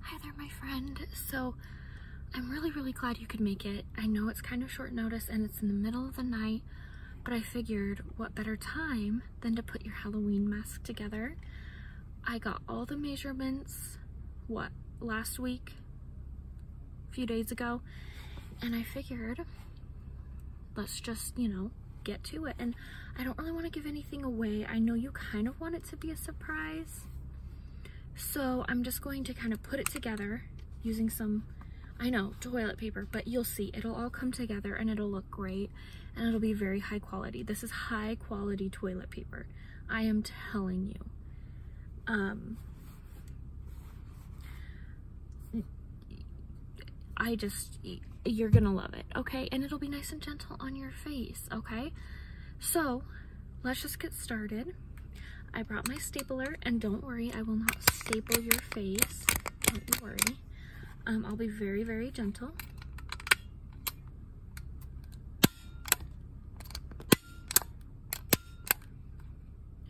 Hi there, my friend. So I'm really, really glad you could make it. I know it's kind of short notice and it's in the middle of the night, but I figured what better time than to put your Halloween mask together. I got all the measurements, what, last week, a few days ago, and I figured let's just, you know, get to it. And I don't really want to give anything away. I know you kind of want to to be a surprise. So I'm just going to kind of put it together using some, I know, toilet paper, but you'll see. It'll all come together and it'll look great and it'll be very high quality. This is high quality toilet paper. I am telling you. Um, I just, you're gonna love it, okay? And it'll be nice and gentle on your face okay? So let's just get started. I brought my stapler and don't worry, I will not staple your face. Don't you worry. Um, I'll be very, very gentle.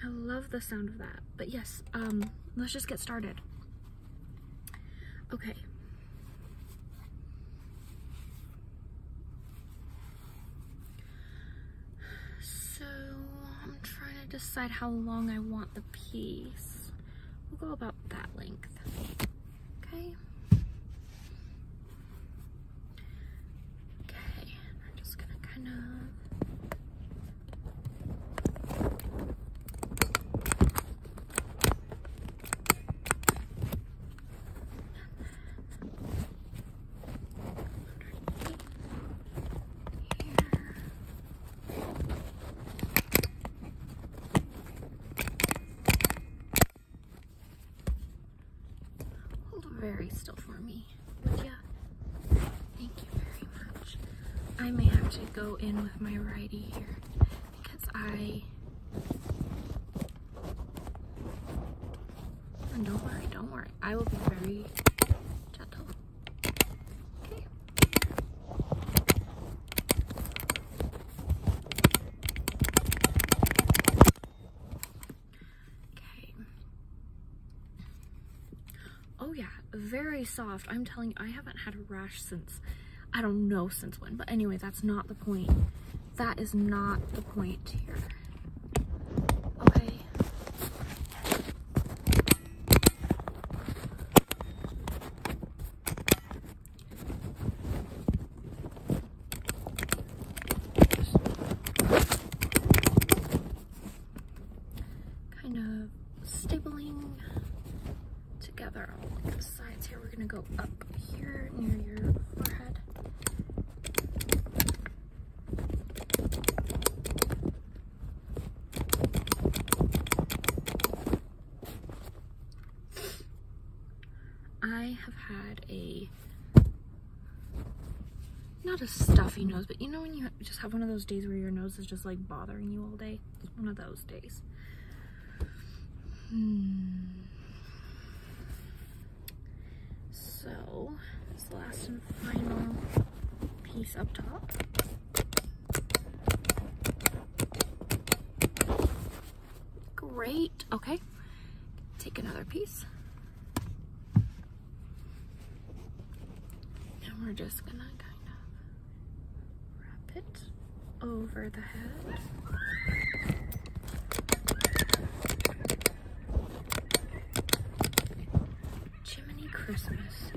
I love the sound of that. But yes, um, let's just get started. Okay. So I'm trying to decide how long I want the piece. We'll go about that length, okay? Okay, I'm just gonna kind of Hold very still for me, would Thank you very much. I may have to go in with my righty here because I don't worry, don't worry. I will be very gentle. Okay. Oh yeah, very soft. I'm telling you, I haven't had a rash since I don't know since when, but anyway, that's not the point. That is not the point here. Okay. Kind of stapling together all the sides here. We're gonna go up here near your forehead. I have had a not a stuffy nose, but you know when you just have one of those days where your nose is just like bothering you all day? It's one of those days. So, this last and final piece up top. Great, okay. Take another piece. And we're just gonna kind of wrap it over the head. Jiminy Christmas.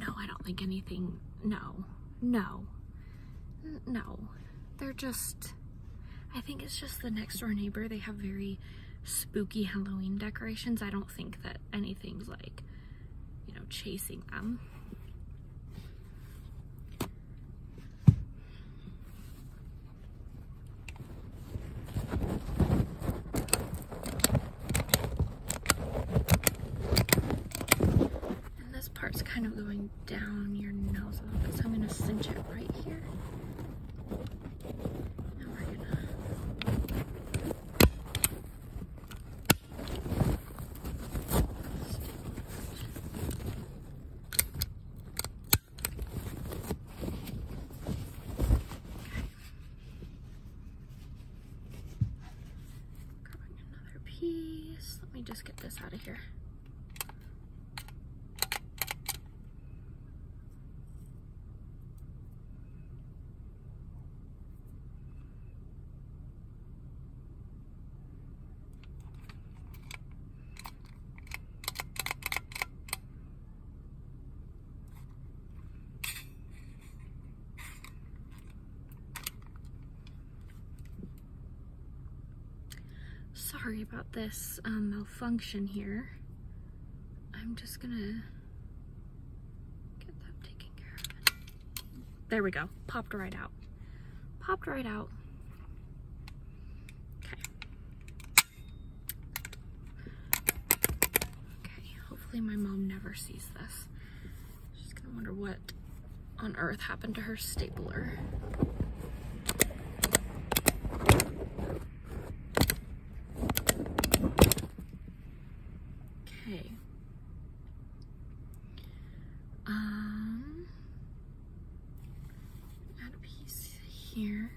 No, I don't think anything, no, no, no. They're just, I think it's just the next door neighbor. They have very spooky Halloween decorations. I don't think that anything's like, you know, chasing them. And this part's kind of going down your nose a little bit, so I'm going to cinch it right here another piece. Let me just get this out of here. Sorry about this um, malfunction here. I'm just gonna get that taken care of. There we go, popped right out. Popped right out. Okay. Okay, hopefully my mom never sees this. She's gonna wonder what on earth happened to her stapler. Okay. Um, Add a piece here.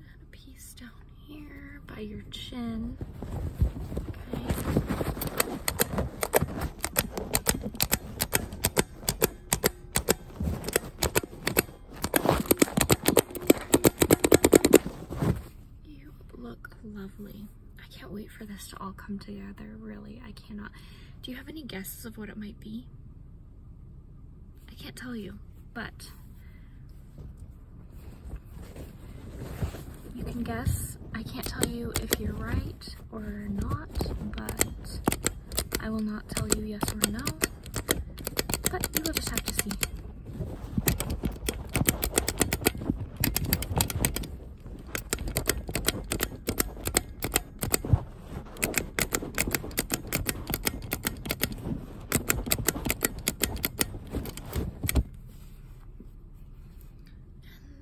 a piece down here by your chin. Okay. You look lovely. I can't wait for this to all come together, really. I cannot. Do you have any guesses of what it might be? I can't tell you, but you can guess. I can't tell you if you're right or not, but I will not tell you yes or no, but you will just have to see.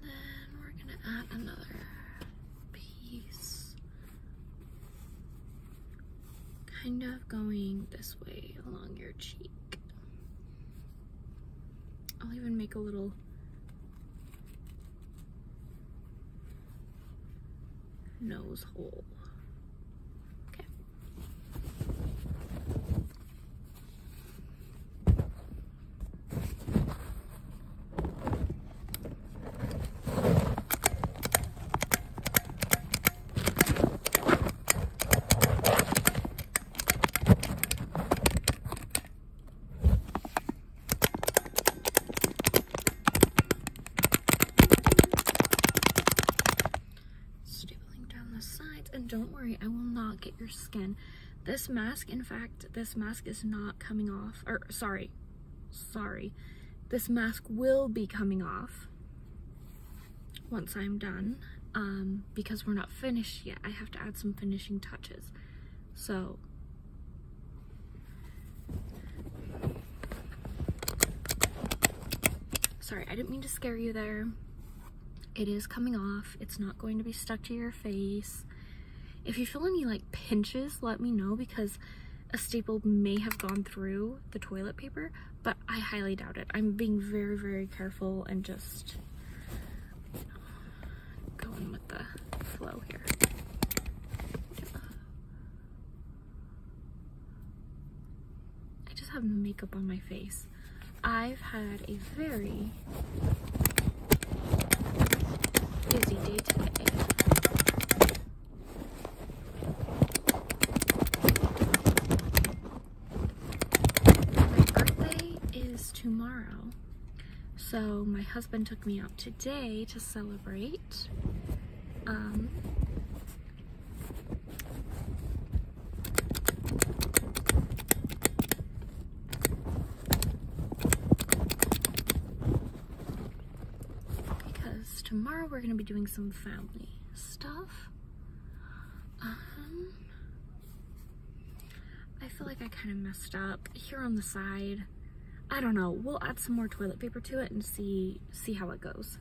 And then we're gonna add another piece kind of going this way along your cheek. I'll even make a little nose hole. Okay. Stapling down the sides, and don't worry, I will not get your skin. This mask, in fact, this mask is not coming off, or sorry, sorry, this mask will be coming off once I'm done um, because we're not finished yet. I have to add some finishing touches. So sorry I didn't mean to scare you there it is coming off it's not going to be stuck to your face if you feel any like pinches let me know because a staple may have gone through the toilet paper, but I highly doubt it. I'm being very, very careful and just going with the flow here. I just have makeup on my face. I've had a very busy day today. My birthday is tomorrow, so my husband took me out today to celebrate. Um, because tomorrow we're gonna be doing some family stuff. Um, I feel like I kind of messed up here on the side. I don't know. We'll add some more toilet paper to it and see see how it goes.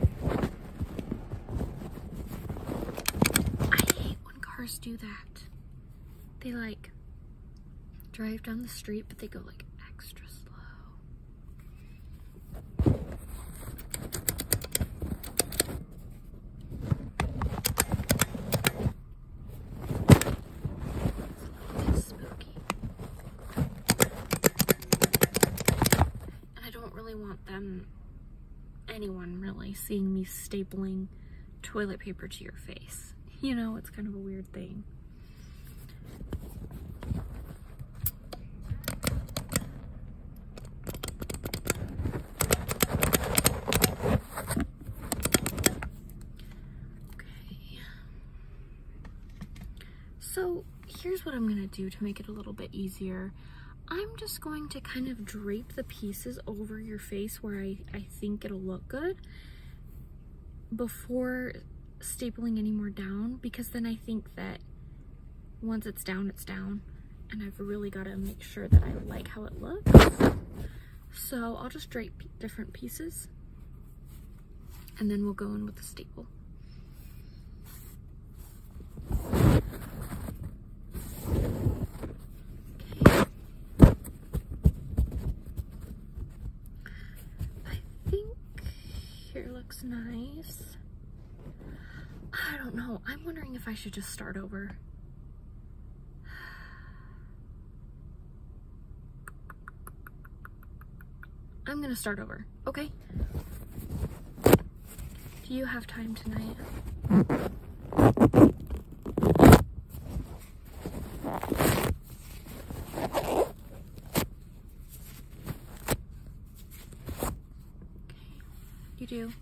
I hate when cars do that. They like drive down the street, but they go like extra slow. It's a little bit spooky. I don't really want them, anyone really, seeing me stapling toilet paper to your face. You know, it's kind of a weird thing. So here's what I'm gonna do to make it a little bit easier. I'm just going to kind of drape the pieces over your face where I, I think it'll look good before stapling any more down because then I think that once it's down, it's down. And I've really got to make sure that I like how it looks. So I'll just drape different pieces and then we'll go in with the staple. I think here looks nice. I don't know. I'm wondering if I should just start over. I'm gonna start over, okay? Do you have time tonight? You do?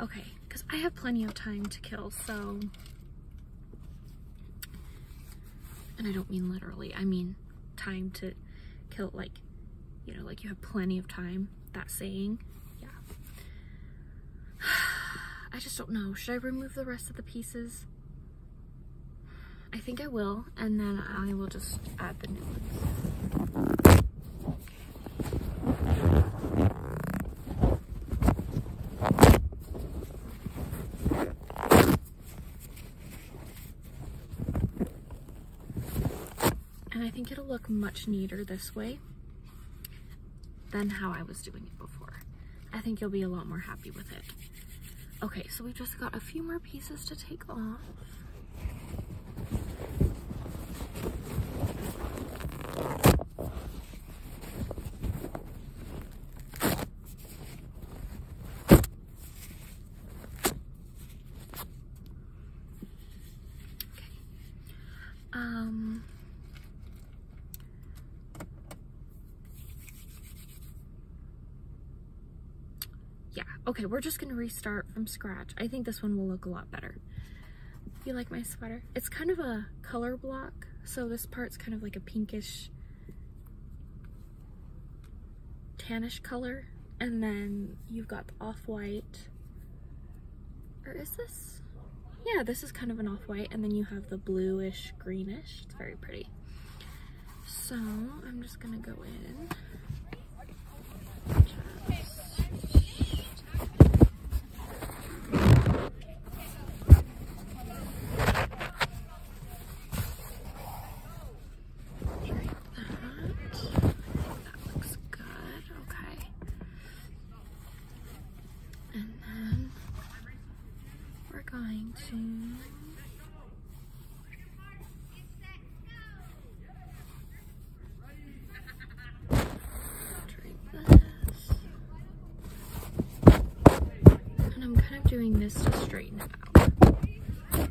Okay, because I have plenty of time to kill, so... And I don't mean literally, I mean time to kill, like, you know, like you have plenty of time, that saying, yeah. I just don't know. Should I remove the rest of the pieces? I think I will, and then I will just add the new ones. And I think it'll look much neater this way than how I was doing it before. I think you'll be a lot more happy with it. Okay, so we have just got a few more pieces to take off. Um, yeah, okay, we're just gonna restart from scratch. I think this one will look a lot better. You like my sweater? It's kind of a color block, so this part's kind of like a pinkish tannish color and then you've got the off-white or is this yeah this is kind of an off-white and then you have the bluish greenish it's very pretty so I'm just gonna go in like that. That looks good. Okay. And then we're going to. doing this to straighten it out.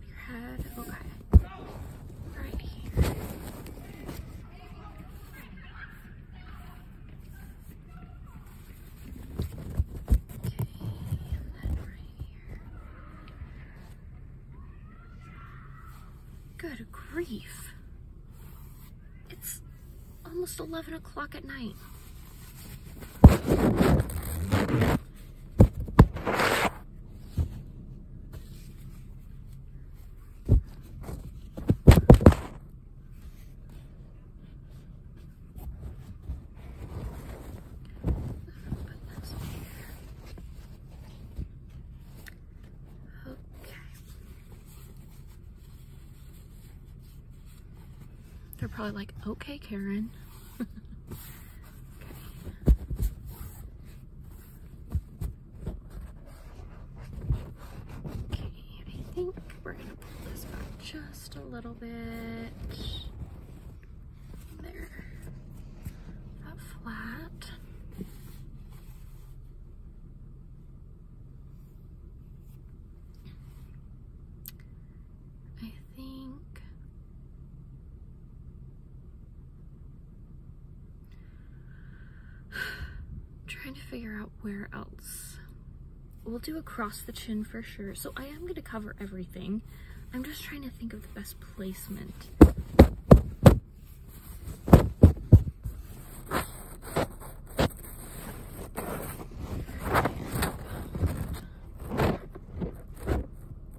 your head. Okay. Right here. Good grief. It's almost 11 o'clock at night. They're probably like, okay, Karen. Okay, I think we're gonna pull this back just a little bit. There. That flat. I think trying to figure out where else. We'll do across the chin for sure. So I am gonna cover everything. I'm just trying to think of the best placement.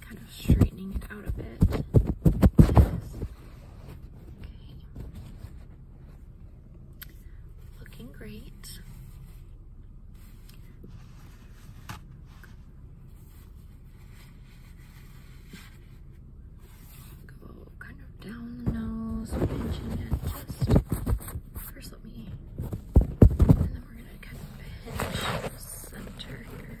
kind of straightening it out a bit. Looking great. Go kind of down the nose, first let me and then we're gonna kind of pinch the center here.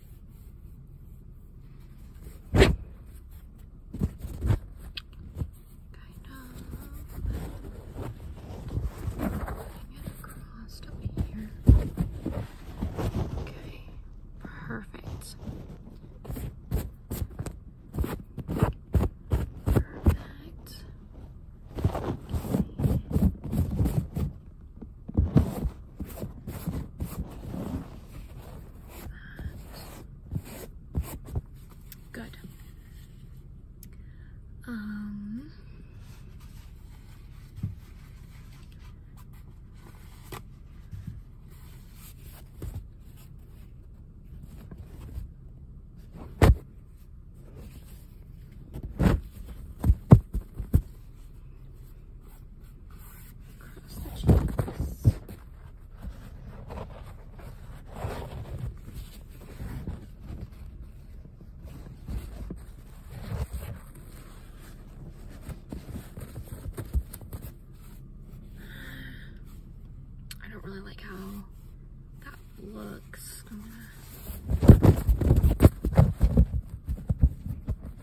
Kind of it across up here. Okay, perfect. Perfect. Good. Um, I don't really like how that looks.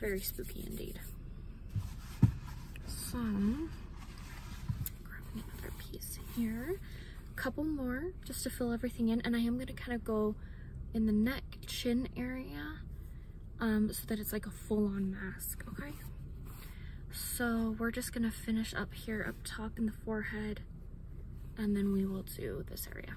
Very spooky indeed. Some grabbing another piece here. couple more just to fill everything in. And I am gonna kind of go in the neck, chin area, um, so that it's like a full-on mask, okay? So we're just gonna finish up here up top in the forehead and then we will do this area.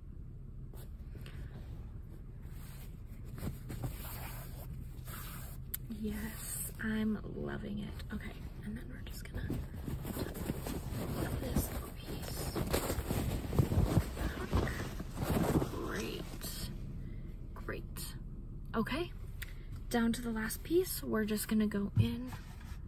Yes, I'm loving it. Okay, Great, great. Okay, down to the last piece, we're just gonna go in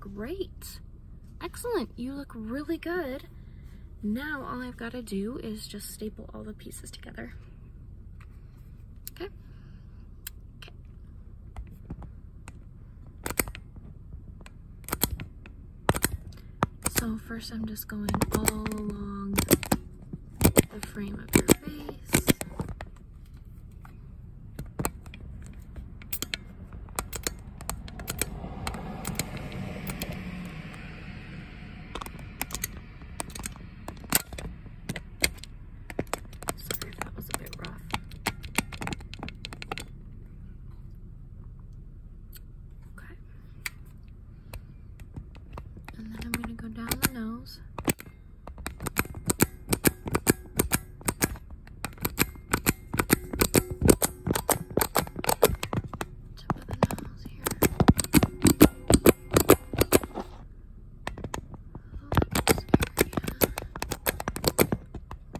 Great. Excellent. You look really good. Now all I've got to do is just staple all the pieces together. Okay. okay. So first I'm just going all along the frame of your face. Sorry that was a bit rough. Okay. And then I'm going to go down the nose. Tip of the nose here.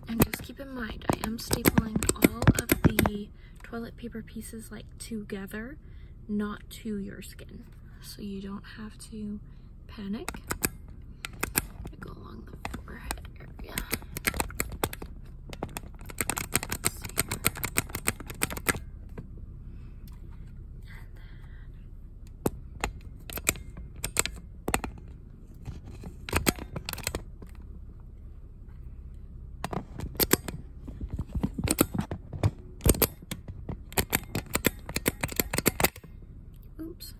And just keep in mind, I am stapling all of the toilet paper pieces like together not to your skin. So you don't have to panic. go along the forehead area. Oops.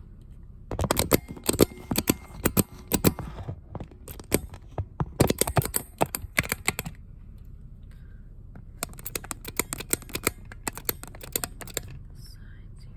Sides here.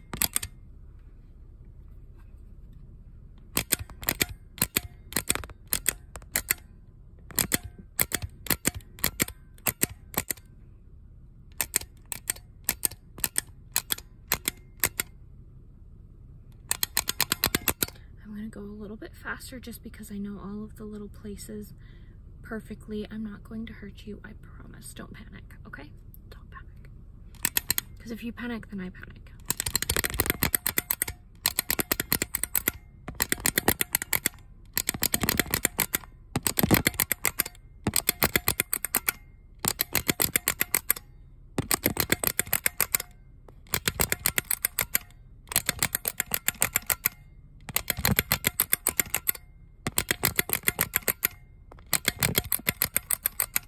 I'm gonna go a little bit faster just because I know all of the little places perfectly. I'm not going to hurt you, I promise. Don't panic, okay? Don't panic. Because if you panic, then I panic.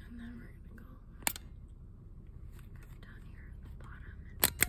And then we're gonna go down here at the bottom and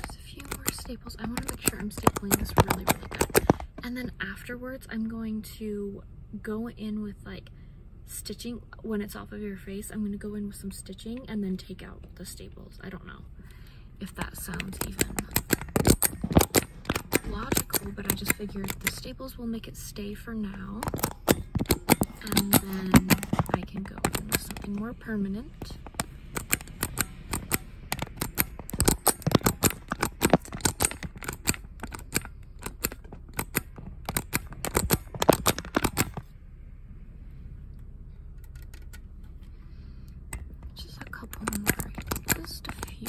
Just a few more staples. I want to make sure I'm stapling this really, really good. And then afterwards, I'm going to go in with like stitching when it's off of your face. I'm going to go in with some stitching and then take out the staples. I don't know if that sounds even logical, but I just figured the staples will make it stay for now. And then I can go in with something more permanent. Just a couple more, just a few.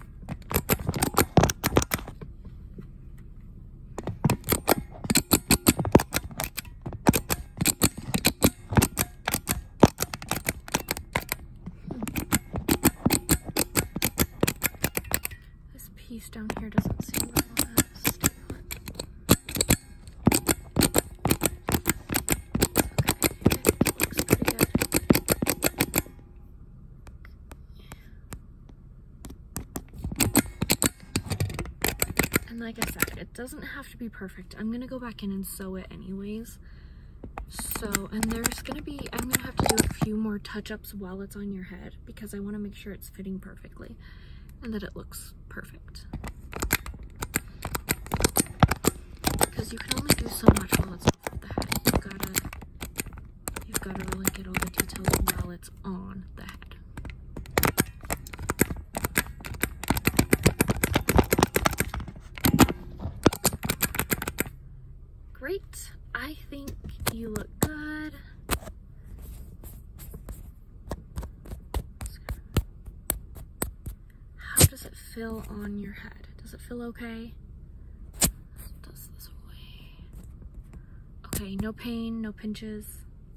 This piece down here doesn't seem to want to stay on. Okay, it looks pretty good. And like I said, it doesn't have to be perfect. I'm gonna go back in and sew it anyways. So, and there's gonna be, I'm gonna have to do a few more touch-ups while it's on your head because I wanna make sure it's fitting perfectly and that it looks perfect. Because you can only do so much while it's You've gotta, you've gotta really get all the details while it's on the head. Great. I think you look good. How does it feel on your head? Does it feel okay? Okay, no pain, no pinches.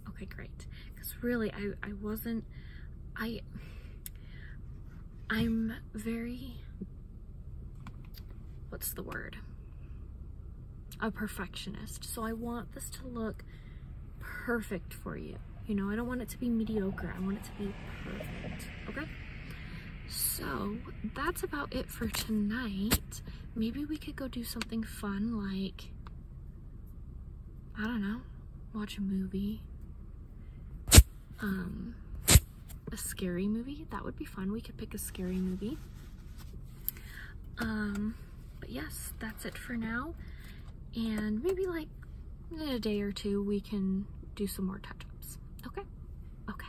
Okay, great. Because really, I, I wasn't, I, I'm very, what's the word? A perfectionist. So I want this to look perfect for you. You know, I don't want it to be mediocre. I want it to be perfect, okay? So that's about it for tonight. Maybe we could go do something fun like, I don't know, watch a movie. Um, a scary movie. That would be fun. We could pick a scary movie. Um, but yes, that's it for now. And maybe like in a day or two, we can do some more touch-ups. Okay? Okay.